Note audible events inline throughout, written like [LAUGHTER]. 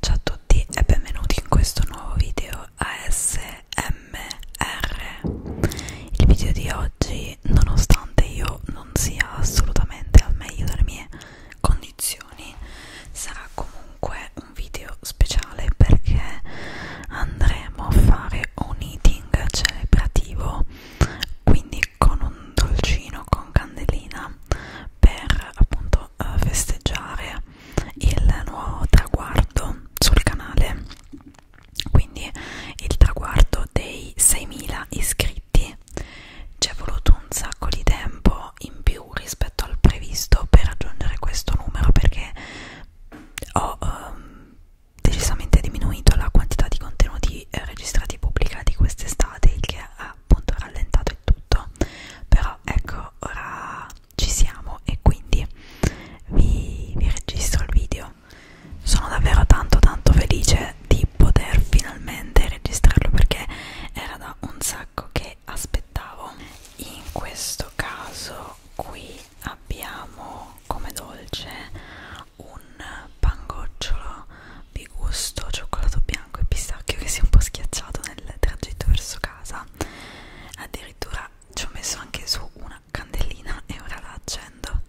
Ciao a tutti e benvenuti in questo nuovo video ASMR. Il video di oggi, nonostante io non sia assolutamente al meglio delle mie condizioni, sarà comunque un video speciale perché andremo a fare un eating celebrativo. Quindi con un dolcino con candelina per appunto eh, festeggiare il nuovo traguardo sul canale quindi il traguardo dei 6.000 iscritti ci è voluto un sacco di tempo in più rispetto al previsto per raggiungere questo numero perché ho um, decisamente diminuito la quantità di contenuti stati eh, registrati e pubblicati quest'estate, il che ha appunto rallentato il tutto. Però ecco, ora ci siamo e quindi vi, vi registro il video. Sono davvero tanto tanto felice di poter finalmente registrarlo perché era da un sacco che aspettavo. In questo caso qui abbiamo come dolce un pangocciolo di gusto cioccolato bianco e pistacchio che si è un po' schiacciato nel tragitto verso casa addirittura ci ho messo anche su una candelina e ora la accendo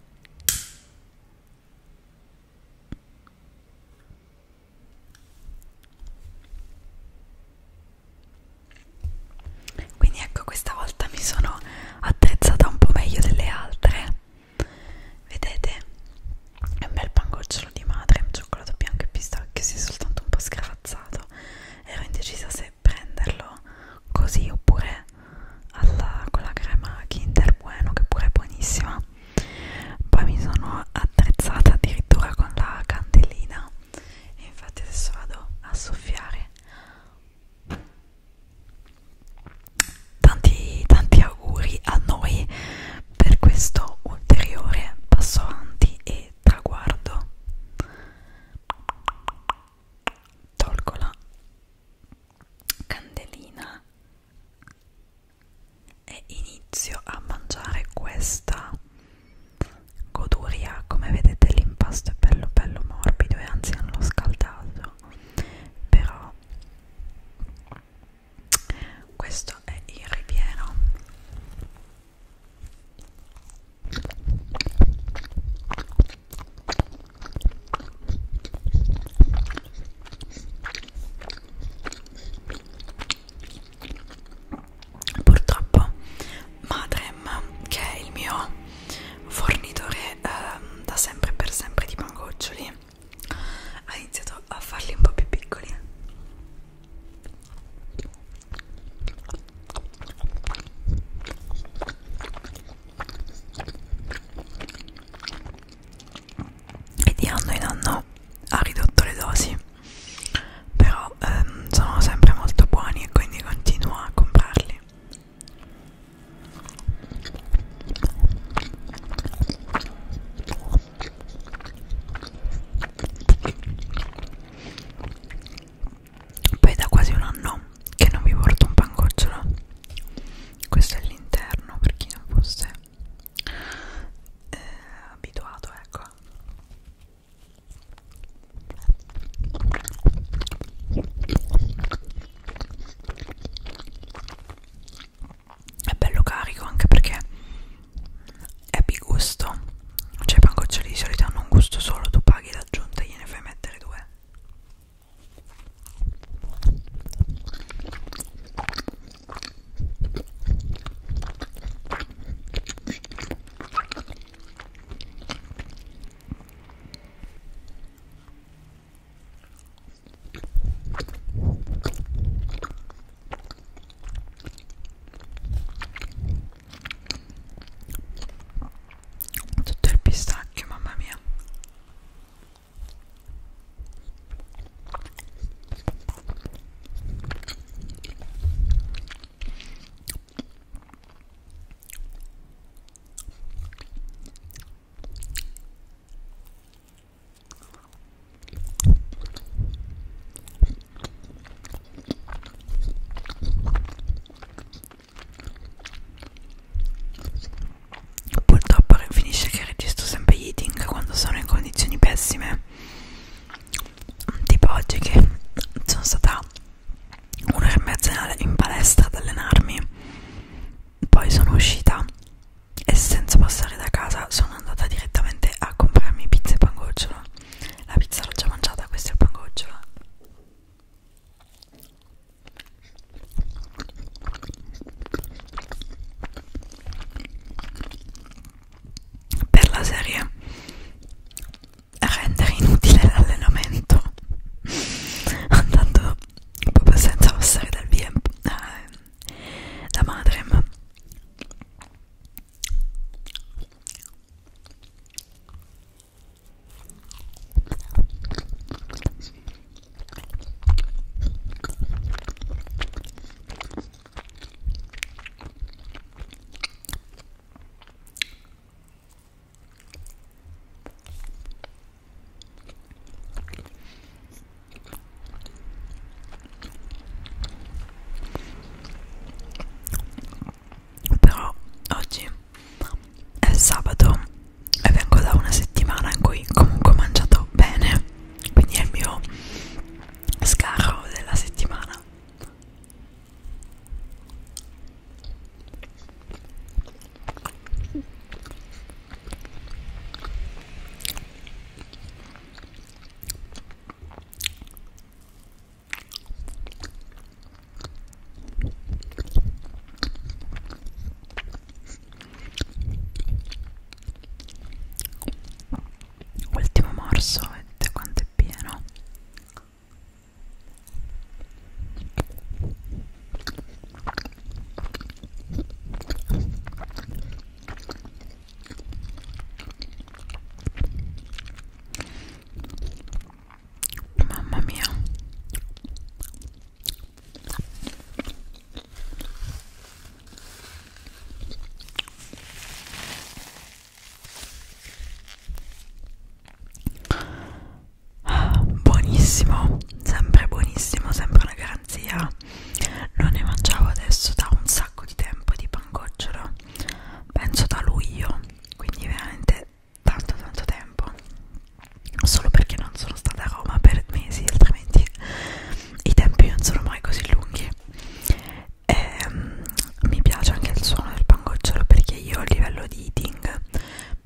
quindi ecco questa volta mi sono attrezzata un po' meglio delle altre Vedete? È un bel pangocciolo di madre, cioccolato bianco e pistacchio, si è soltanto un po' scravazzato. Ero indecisa se prenderlo così oppure alla, con la crema Kinder Bueno, che pure è buonissima. Poi mi sono attrezzata addirittura con la candelina e infatti adesso vado a soffiare Tanti, tanti auguri a noi per questo ulteriore passo avanti e traguardo. Tolgo la candelina e inizio a mangiare questa goduria. Come vedete, l'impasto è bello, bello morbido e anzi, non l'ho scaldato però questo è il ripieno purtroppo Madrem che è il mio fornitore ehm, da sempre e per sempre di pangoccioli ha iniziato a farli un po' più piccoli e di anno in anno ha ridotto le dosi però ehm, sono sempre molto buoni e quindi continuo a comprarli poi da quasi un anno che non vi porto un pangocciolo. Questo è l'interno per chi non fosse eh, abituato, ecco è bello carico anche perché è bigusto cioè i pangoccioli di solito hanno un gusto solo tu paghi l'aggiunta e gliene fai mettere due tutto il pistacchio mamma mia Purtroppo finisce che registro sempre eating quando sono in condizioni pessime. Tipo oggi che sono stata un'ora e mezza in palestra ad allenarmi poi sono uscita e senza passare da casa sono andata direttamente a comprarmi pizza e pangocciolo la pizza l'ho già mangiata questo è il pangocciolo per la serie rendere inutile l'allenamento [LAUGHS] andando proprio senza passare dal via eh, da madrem però oggi è sabato e vengo da una settimana in cui comunque ho mangiato bene, quindi è il mio scarro della settimana. Ultimo morso, vedete quanto veramente pieno Mamma mia Ah, buonissimo, sempre buonissimo, sempre una garanzia. Non ne mangiavo adesso da un sacco di tempo di pangocciolo, penso da luglio, quindi veramente tanto tanto tempo. Solo perché non sono stata a Roma per mesi, altrimenti i tempi non sono mai così lunghi ehm, mi piace anche il suono del pangocciolo perché io a livello di eating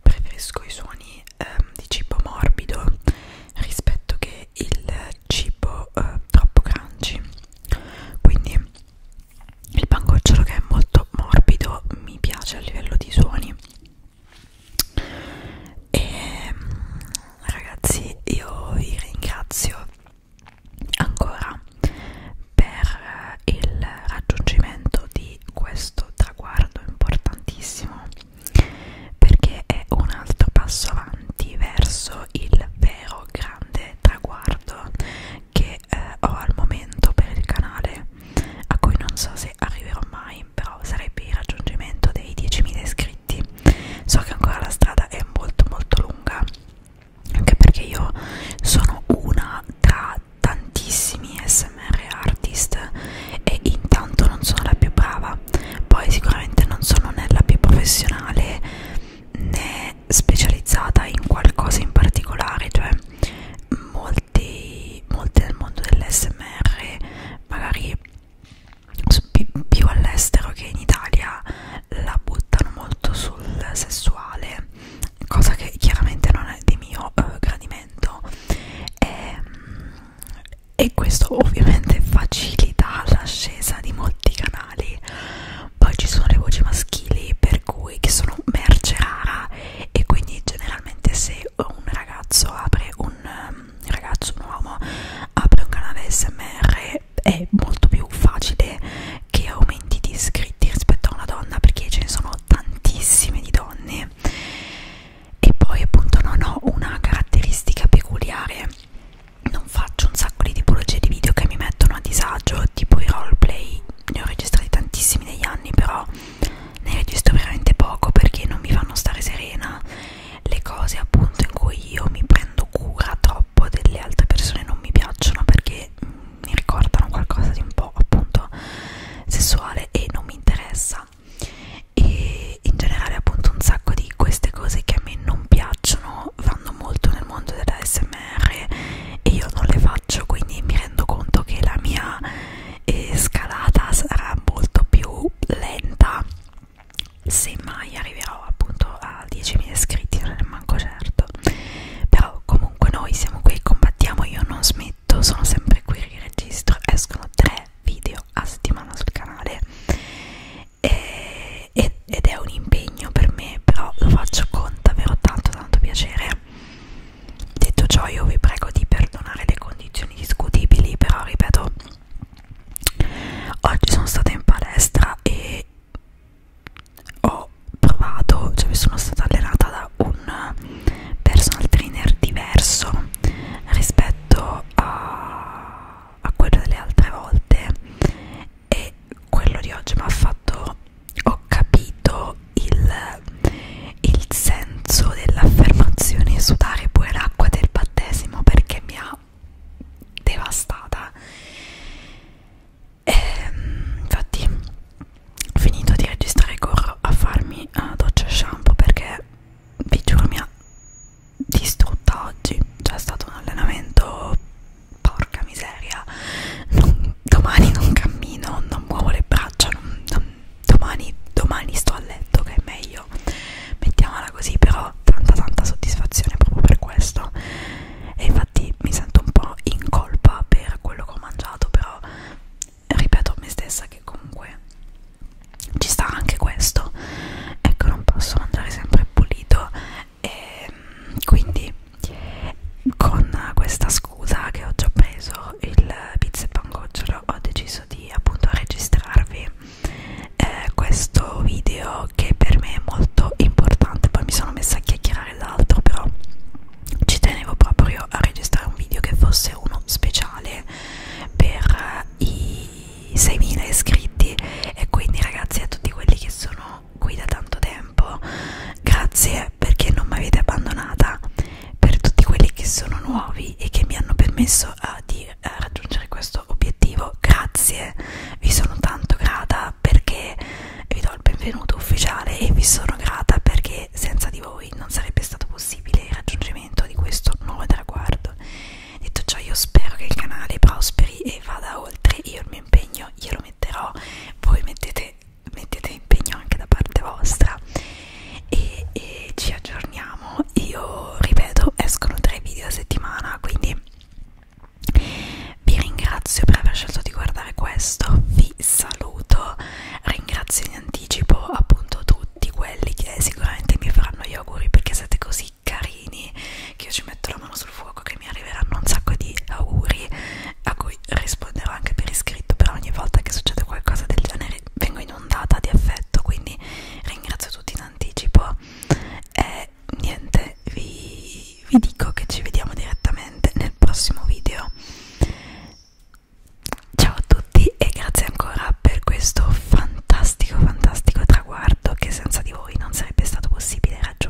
preferisco i suoni ehm, di cibo morbido rispetto che il cibo eh, troppo crunchy quindi il pangocciolo che è molto morbido mi piace a livello di suoni e ehm, ragazzi io vi ringrazio Ancora, per eh, il raggiungimento di questo traguardo importantissimo, perché è un altro passo avanti verso il vero grande traguardo che eh, ho al momento per il canale, a cui non so se arriverò mai, però sarebbe il raggiungimento dei 10.000 iscritti traghetti so che ancora la strada è molto molto lunga anche perché io sono una tra tantissimi smr artist e intanto non sono la più brava poi sicuramente non sono né la più professionale né specializzata in qualcosa in particolare cioè molti molti nel mondo dell'SMR magari più all'estero che in Italia la buttano molto sul sessuale, cosa che chiaramente non è di mio eh, gradimento e, ehm, e questo ovviamente facilita l'ascesa di molti canali. Poi ci sono le voci maschili per cui che sono merce rara e quindi generalmente se un ragazzo apre un, un ehm, ragazzo, un uomo apre un canale SMR è molto più facile che aumenti di iscritti rispetto a una donna perché ce ne sono tantissime di donne e poi appunto non ho una caratteristica peculiare non faccio un sacco di tipologie di video che mi mettono a disagio tipo i roleplay ne ho registrati tantissimi negli anni però ne registro veramente poco perché non mi fanno stare serena le cose appunto in cui io mi prendo cura troppo delle altre persone non mi piacciono perché mh, mm, mi ricordano qualcosa di un po' appunto sessuale e non mi interessa e in generale appunto un sacco di queste cose che a me non piacciono vanno molto nel mondo dell'ASMR e io non le faccio quindi mi rendo conto che la mia eh, scalata sarà molto più lenta se mai arriverò appunto a 10.000 iscritti non è manco certo però comunque noi siamo qui combattiamo io non smetto sono sempre qui riregistro escono tre video a settimana sul canale e, ed, ed è un impegno per me però lo faccio con davvero tanto tanto piacere detto ciò io vi prego di perdonare le condizioni discutibili però ripeto oggi sono stata in palestra e ho provato, cioè mi sono stata allenata da un personal trainer diverso rispetto a, a quello delle altre volte e quello di oggi mi ha fatto ho capito il, il sen, senso dell'affermazione sudare pure l'acqua del battesimo perché mi ha devastata e, ehm, infatti ho finito di registrare corro a farmi uh, doccia e shampoo perché vi giuro mi ha distrutta oggi cioè è stato un allenamento porca miseria non, domani non cammino non muovo le braccia non, non, domani, domani sto a letto che è meglio mettiamola così però tanta tanta soddisfazione proprio per questo e infatti mi sento un po' in colpa per quello che ho mangiato però ripeto a me stessa che comunque ci sta anche questo ecco non posso mangiare sempre pulito e quindi con questa scusa che ho già preso il pizza e pangocciolo video ho deciso di appunto registrarvi eh, questo video che per me è molto importante poi mi sono messa a chiacchierare l'altro però ci tenevo proprio a registrare un video che fosse uno speciale per eh, i 6.000 iscritti e quindi ragazzi a tutti quelli che sono qui da tanto tempo grazie perché non mi avete abbandonata per tutti quelli che sono nuovi e che mi hanno permesso a, ah, di a eh, raggiungere questo obiettivo. Grazie, vi sono tanto grata perché vi do il benvenuto ufficiale e vi sono grata perché senza di voi non sarebbe stato possibile il raggiungimento di questo nuovo traguardo. Detto ciò, io spero che il canale prosperi e vada oltre. Io il mio impegno glielo metterò, voi mettete, mettete impegno anche da parte vostra e, e ci aggiorniamo io ripeto escono tre video a settimana quindi vi ringrazio per aver scelto di guardare questo vi saluto ringrazio in anticipo appunto tutti quelli che sicuramente mi faranno gli auguri perché siete così carini che io ci metto la mano sul fuoco che mi arriveranno un sacco di auguri a cui risponderò anche per iscritto però ogni volta che succede qualcosa del genere vengo inondata di affetto quindi ringrazio tutti in anticipo e niente vi, vi dico che ci vediamo direttamente nel prossimo video ciao a tutti e grazie ancora per questo fantastico fantastico traguardo che senza di voi non sarebbe stato possibile raggiungere